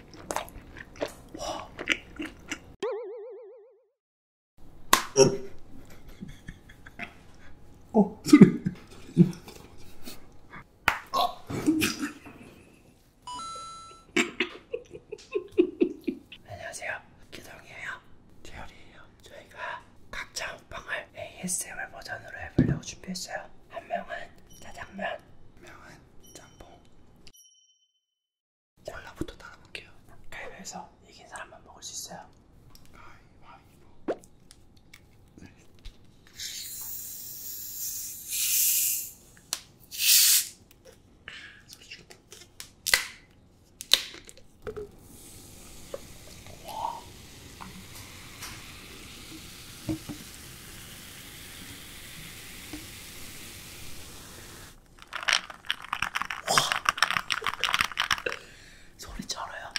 어 소리 안녕하세요 기동이에요 재열이에요 저희가 각자 먹방을 ASMR 버전으로 해보려고 준비했어요 한 명은 짜장면 한 명은 짬뽕 콜라부터 따라볼게요. 가위바위보에서 이긴 사람만 먹을 수 있어요. 가위바위보. 네. 와. 소리 절어요.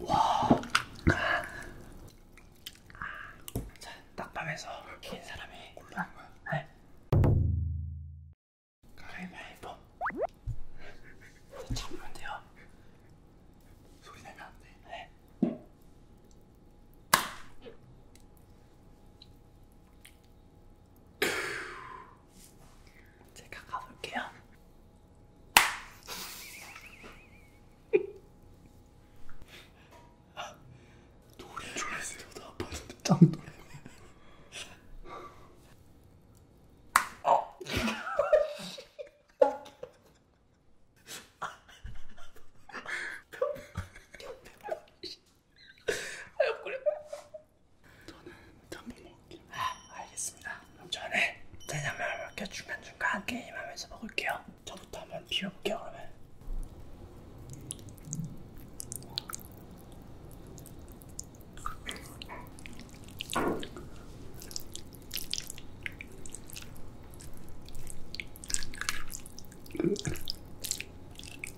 와. 자, 딱밤에서 긴 사람이 골라는 거야. 네. 가위바위보 잡으면 돼요 소리 내면 안돼 네. 제가 가볼게요 노래 좋아했어요 저도 아팠는데 짱 노래 어. 저는 전부 먹을게요. 아, 알겠습니다. 그럼 전에 짜장면을 먹게 중간중간 게임하면서 먹을게요. 저부터 한번 비워볼게요, 그러면.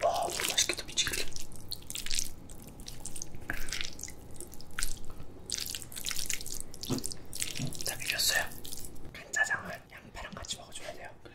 와, 맛있겠다, 미치겠다. 다 비볐어요. 간짜장은 양파랑 같이 먹어줘야 돼요. 그래.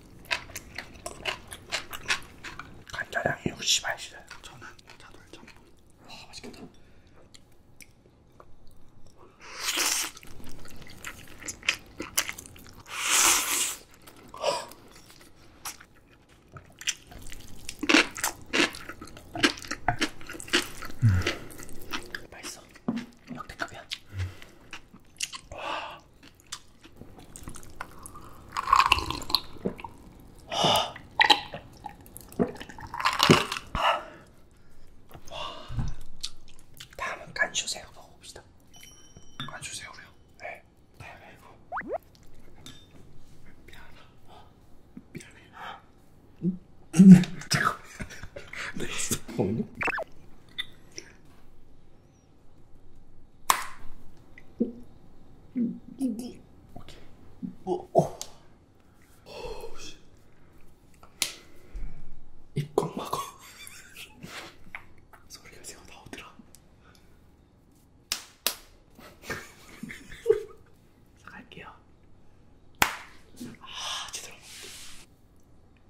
간짜장이 60알씩 저는 자돌 짬뽕 와 맛있겠다 음. 맛있어 역대급이야 음. 와 다음은 간쇼새우 먹어봅시다. 간쇼새우요? 네. 대박이고. 네, 미안해. 미안해. 잠깐만. 네. 오케이. 어, 어. 입꽉 막어. 소리가 새어 나오더라. 갈게요. 아, 제대로 먹을게.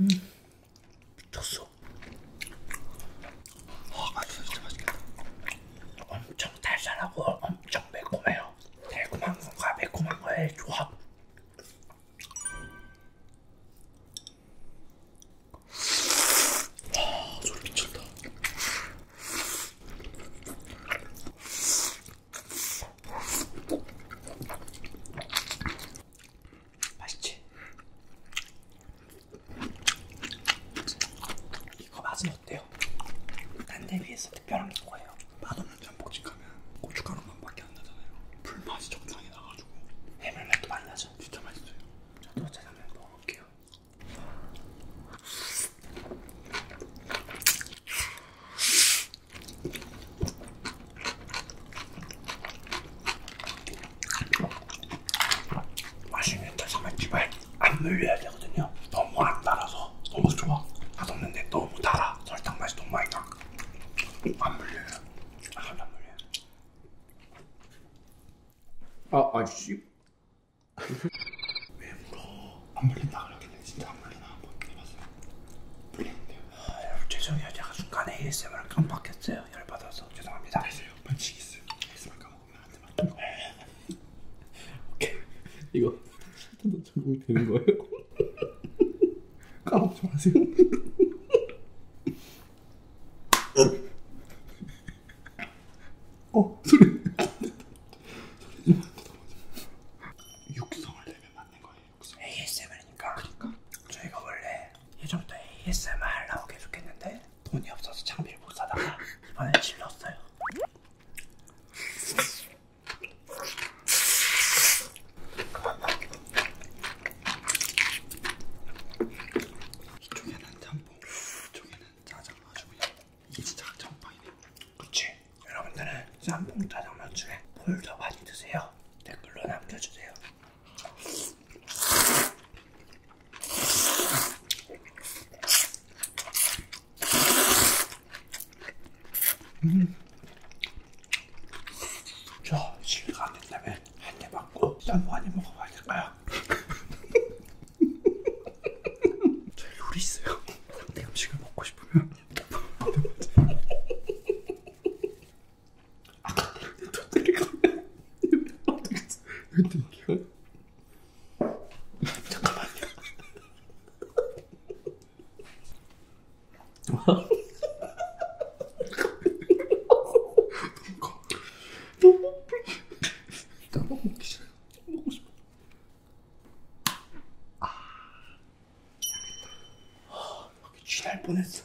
음, 미쳤어. 와, 아, 맛있어, 진짜 맛있겠다. 엄청 달달하고 엄청 매콤해요. 달콤한 건가 매콤한 거의 조합. 와, 소리 미쳤다. 맛있지? 이거 맛은 어때요? 딴데 비해서 특별한 게 뭐예요? 맛없는 전복집 가면 고춧가루만밖에 안 나잖아요. 불맛이 적당히 나가지고 해물맛도 많이 나죠? 진짜 맛있어요. 저도 짜장면 먹어볼게요. 맛있는데 삼겹살 안 물려야 되거든요. 너무 안 달아서 너무 좋아. 맛없는데 너무 달아. 설탕 맛이 너무 많이 나. 안 물려요. 아, 안 물려요. 아, 아저씨. 왜 물어? 안 물린다 그러길래 진짜 안 물리나 한번 해봤어요. 물리는데요. 아, 여러분 죄송해요. 제가 순간에 ASMR을 깜빡했어요. 열받아서 죄송합니다. 다시요. 반칙 있어요. ASMR 까먹으면 안 되면 오케이. 이거 실탄도 적용이 되는 거예요? 까먹지 마세요. 어 소리 육성을 내면 맞는 거예요. 육성. ASMR이니까. 그러니까. 저희가 원래 예전부터 ASMR 하려고 계속 했는데 돈이 없어서 장비를 못 사다가 이번에 질렀어요. 이쪽에는 짬뽕, 이쪽에는 짜장 아주 그냥 이게 진짜 전방이네. 그치? 여러분들은 쌈봉 짜장면 중에 뭘더 많이 드세요? 댓글로 남겨주세요. 음. 저 실가 안 된다면 한입 맞고 쌈봉 한입 먹어봐야 될까요? 제 룰이 있어요. 상대 음식을 먹고 싶으면 아까 내 도토리 가면 어떻게 이거 땡겨? 잠깐만요. 너무 나밥 먹기 싫어요. 먹고 싶어. 아, 잘했다. 아, 여기 취할 뻔했어.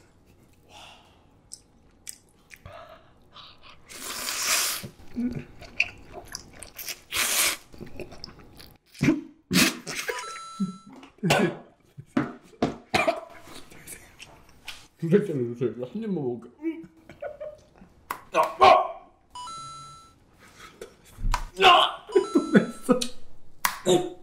음. 주세요, 주세요. 한 입만 먹을게. 야, 뭐! 아! 야! 또 냈어. 어.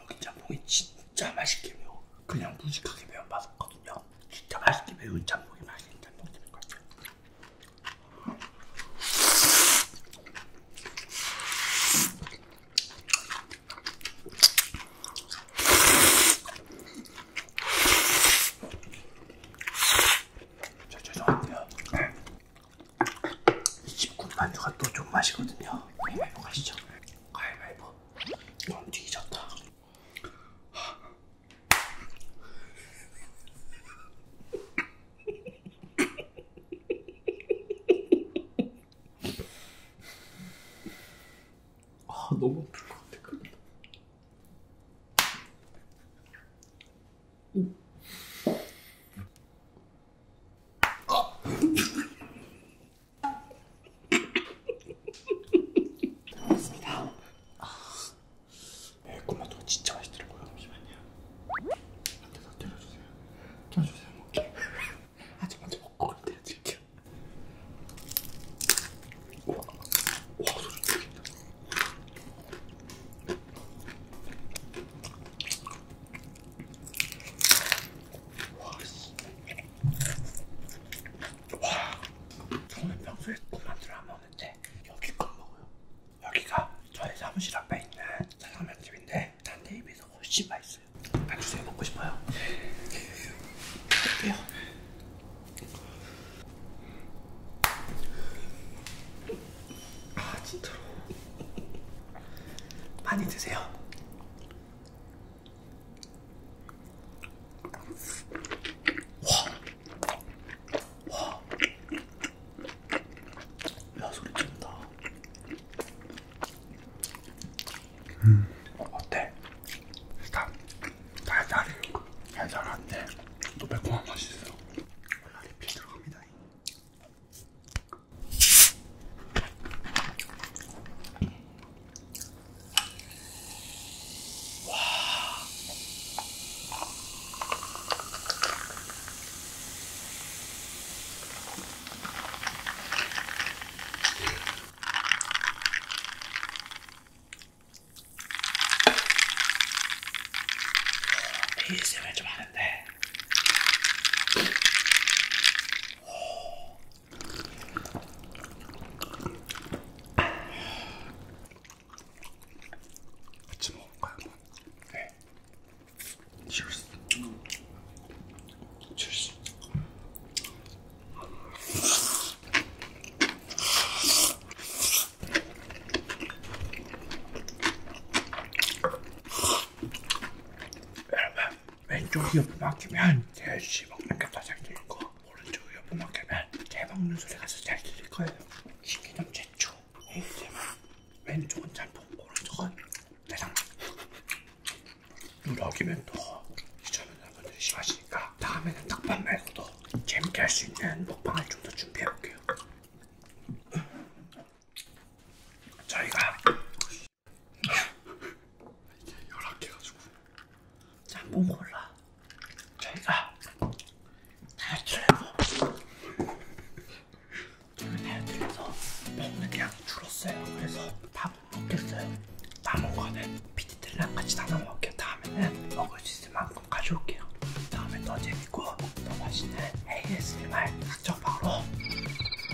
여기 짬뽕이 진짜 맛있게 매워. 그냥 무식하게 매운 맛없거든요. 진짜 맛있게 매운 짬뽕이 맛있는 짬뽕집인 것 같아요. 저 죄송한데요. 19 만두가 또 좀 맛이거든요. 가위바위보 네, 가시죠. 가위바위보. 너무 뒤졌다. あ登ってこってくるあ 먹겠습니다 아. 네, 꼬마도 진짜 맛있더라고요 잠시만요 한테 더 때려주세요 껴주세요 먹게 아직 먼저 먹고 그럼 때려드릴게요 우와 우와 소리 죽인다 와씨 와 저는 평소에 군만두를 안 먹는데 여기껏 먹어요 여기가 저희 사무실 앞에 있는 짜장면집인데 딴데 입에서 훨씬 맛있어요 안주세요 먹고 싶어요 할게요 아 진짜로 많이 드세요 와. 와. 야, 소리 쩐다. 음, 어, 어때? 일단, 달달해. 달달한데, 또 매콤한 맛이 있어. 올라리필 들어갑니다. ASMR 좀 하는데 오, 같이 먹을까요? 한번? 네. Cheers. Cheers. 여러분 왼쪽 이어폰 막히면 개씨 먹는겠다 잘 들리고 오른쪽 이어폰 막히면 개 먹는 소리가 잘 들릴 거예요 신기념 최초 ASMR 왼쪽은 짬뽕 오른쪽은 대장 누러기면 또 시청자분들이 싫어하시니까 다음에는 닭밥 말고도 재밌게 할 수 있는 먹방을 좀 더 준비해볼게요 음. 저희가 이게 열악해가지고 한번 골라 저희가 다이어트를 해서 저희 다이어트를 해서 먹는 양이 줄었어요 그래서 밥은 먹겠어요 남은 거는 피디들이랑 같이 나눠 먹을게요 다음에는 먹을 수 있을 만큼 가져올게요 다음에 더 재밌고 더 맛있는 ASMR 닥쳐 바로